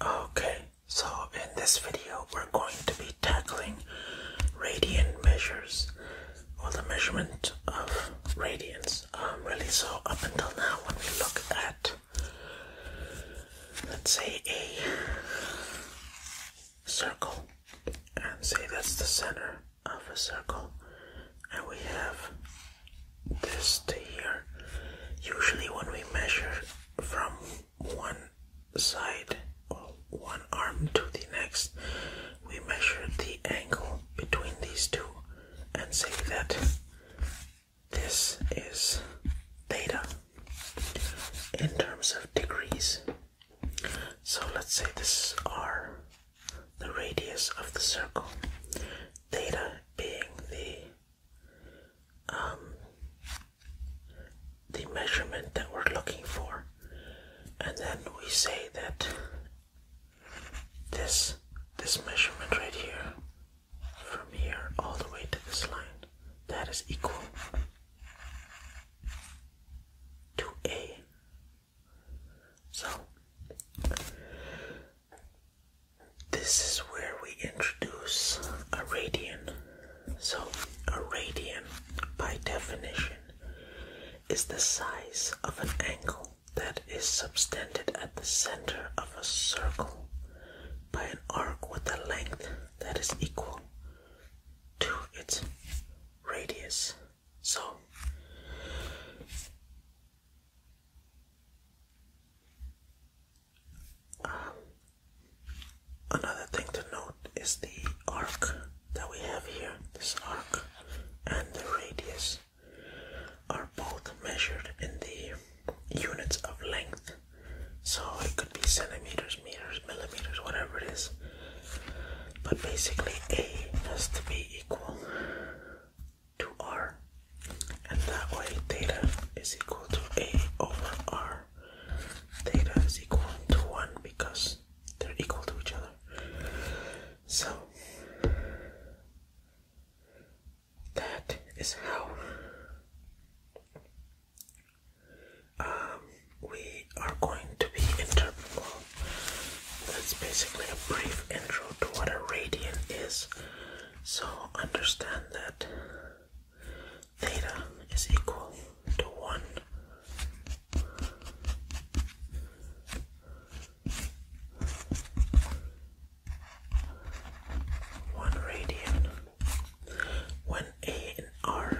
Okay, so in this video we're going to be tackling radian measures or the measurement of radians. Um, really, so up until now when we look at, let's say a circle and say that's the center of a circle and we have this here. Usually, when we measure from one side or one arm to the next, we measure the angle between these two and say that this is theta in terms of degrees. So let's say this is r, the radius of the circle, theta being the um, the measurement that we're looking for, and then we say that this this measurement right here, from here all the way to this line, that is equal to a. So this is where we introduce a radian. So, a radian, by definition, is the size of an angle that is subtended at the center of a circle by an arc with a length that is equal to its radius. So, um, another thing to note is the arc that we have here. This arc and the radius are both measured in the units of length. So it could be centimeters, meters, millimeters, whatever it is. But basically, A has to be equal to r, and that way theta is equal to a over r. Theta is equal to 1 because they're equal to each other. So, that is how um, we are going to be interpreting. that's basically a brief intro to what a radian is. So understand that theta is equal to 1 1 radian when A and R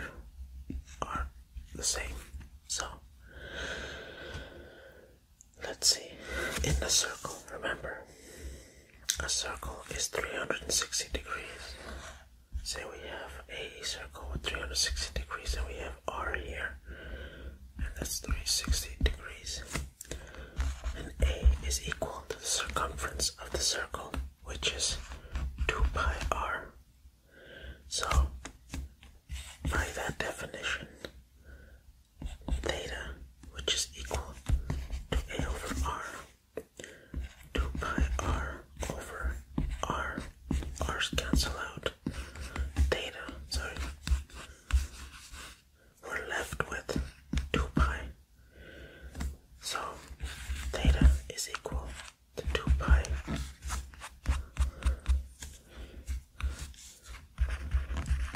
are the same. So let's see in the circle, remember a circle is 360 degrees. Say we have a circle with 360 degrees and we have R here. And that's 360 degrees. And A is equal to the circumference of the circle, which is 2 pi R. So, by that definition, theta, which is equal to a over r, 2 pi r over r, r's cancel out, theta, sorry, we're left with 2 pi. So theta is equal to 2 pi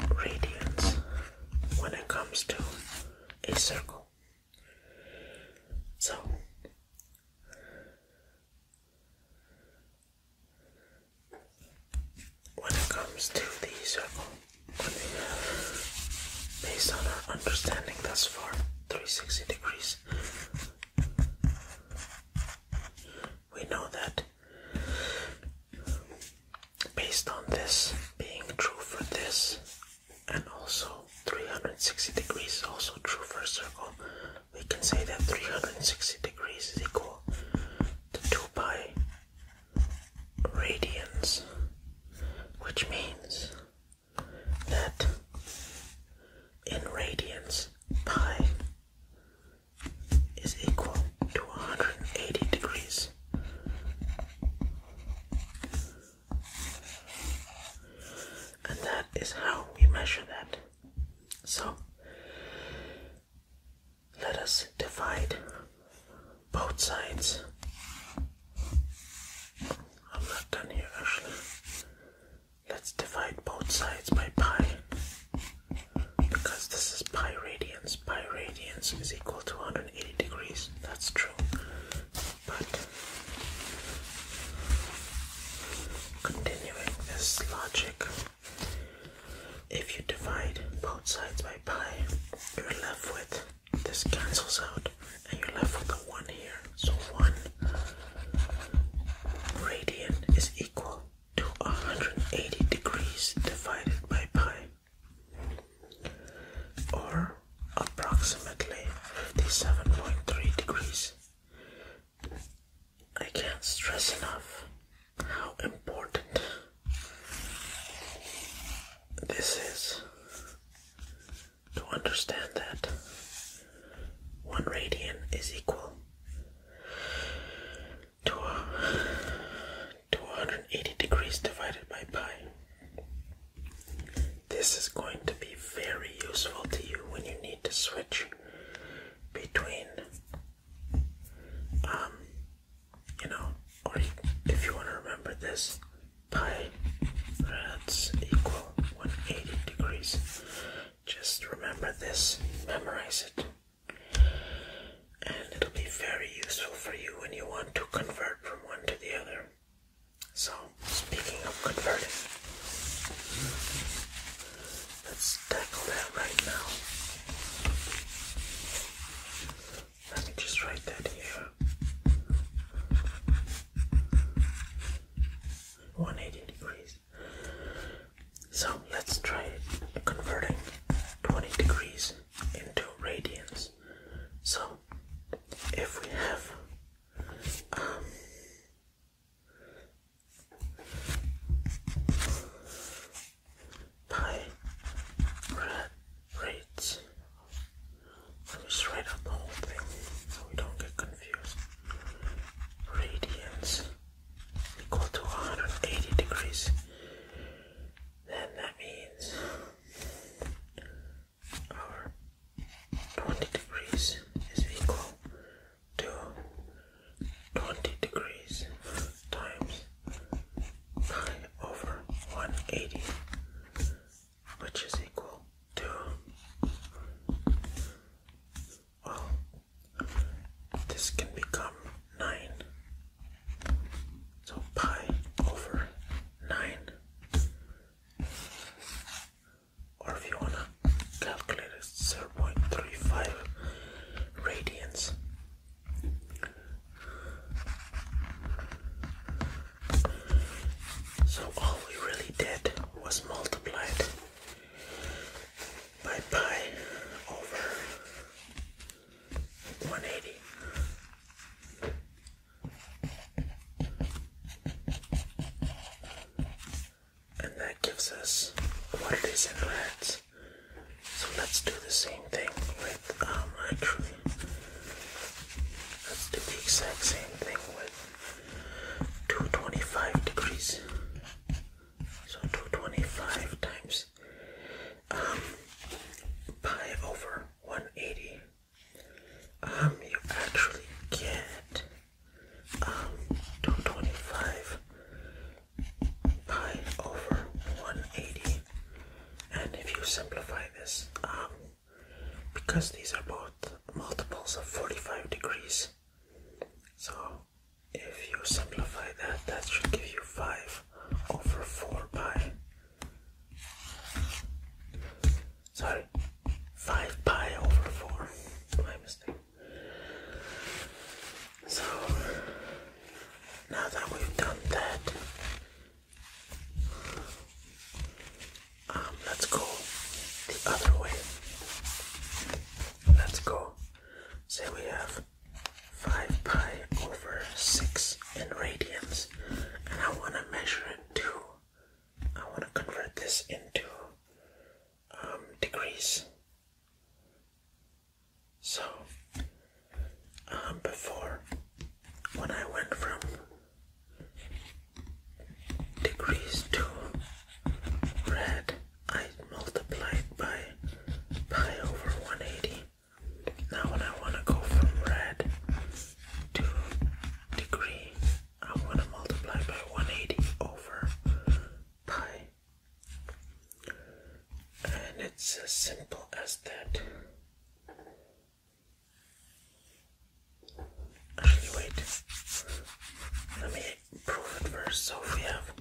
radians when it comes to a circle. So, when it comes to the circle, based on our understanding thus far, 360 degrees, we know that based on this being true for this and also 360 degrees also true for a circle we can say that 360 degrees is equal to 2 pi radians which means that in radians pi is equal to 180 degrees and that is how we measure that. So let us divide both sides. I'm not done here actually. Let's divide both sides by pi because this is pi radians by radians is equal to 180 degrees. That's true. But continuing this logic, if you divide both sides by pi, you're left with this cancels out and you're left with the 1 here. So 1 radian is equal to 180 degrees divided by pi or approximately 57.3 degrees. I can't stress enough how important this is to understand that one radian is equal 280 degrees divided by pi. This is going to be very useful to you when you need to switch between, um, you know, or if you want to remember this, pi rats equal 180 degrees. Just remember this, memorize it and it'll be very useful for you when you want to convert from one to the other. So, speaking of converting, let's tackle that right now. Let me just write that here. 180 degrees. So let's try converting 20 degrees into radians. So if we have um, pi rates, let me write out the whole thing so we don't get confused. Radians equal to 180 degrees then that means our 20 degrees is equal to 20 degrees times pi over 180, which is equal to, well, this can become 9. So pi over 9. Or if you want to calculate it, 0.35 radians. So all we really did was multiplied by pi over 180. And that gives us what it is in rats. So let's do the same thing with, um, actually, let's do the exact same thing with 225 degrees. So 225 times um, by over 180, um, you actually get um, 225 pi over 180. And if you simplify this, um, because these are both multiples of 45 degrees, so if you simplify that, that should give you 5 over 4 pi sorry 5 pi over 4 my mistake so now that we've done that um, let's go the other way let's go say we have 5 pi over 6 in radians, and I want to measure it to, I want to convert this into um, degrees. So, um, before, when I went from degrees to red, I multiplied by pi over 180. Now when I want to go from red to the I want to multiply by 180 over pi. And it's as simple as that. Actually, wait. Let me prove it first. So we have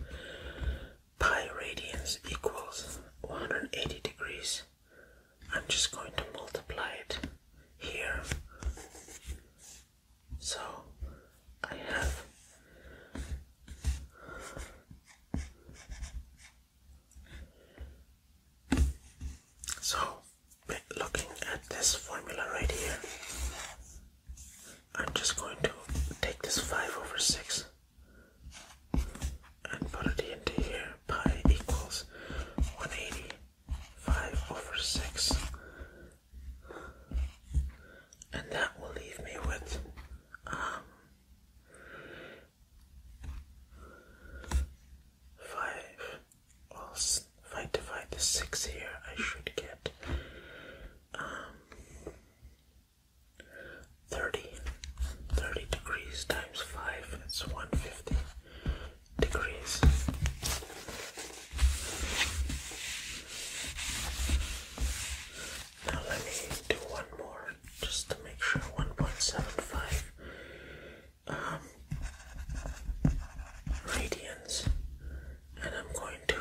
pi radians equals 180 degrees. I'm just going to multiply it here. So I have so looking at this formula right here, I'm just going to take this 5 over 6 and put it into here. Pi equals 185 over 6. And that will leave me with um, 5. Well, if I divide the 6 here, I should get um, 30. degrees times 5, it's 150 degrees. Now let me do one more just to make sure 1.75 um, radians, and I'm going to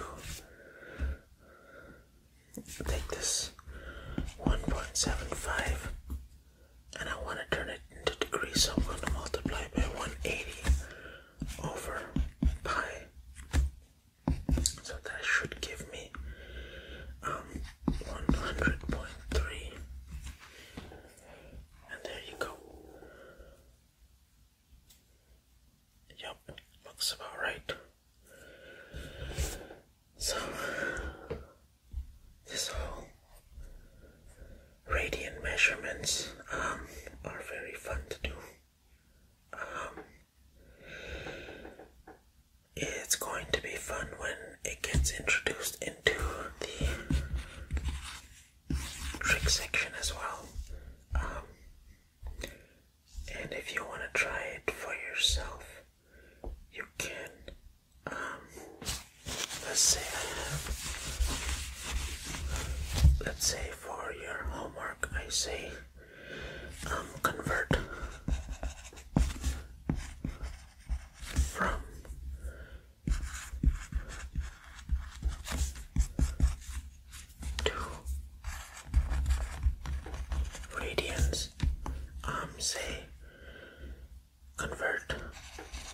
take this 1.75 and I want to turn it into degrees, so I'm going to multiply by 180 over pi. So that should give me um, 100.3. And there you go. Yep, looks about right. So, this whole radiant measurements um, are very fun to do. Um, it's going to be fun when it gets introduced into the trick section as well. Um, and if you want to try it for yourself, you can, um, let's say let's say for your homework, I say, um, convert from to radians um say convert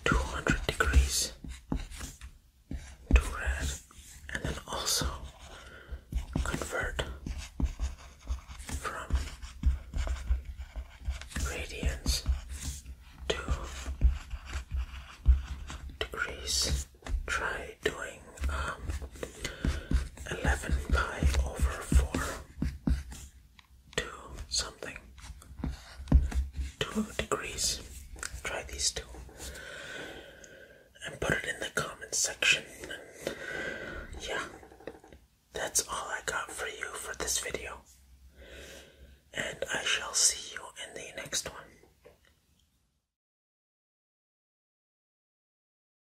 200 degrees to red and then also convert from radians to degrees try doing um, 11 pi over 4 to something 2 degrees. Try these two and put it in the comments section. yeah, that's all I got for you for this video. And I shall see you in the next one.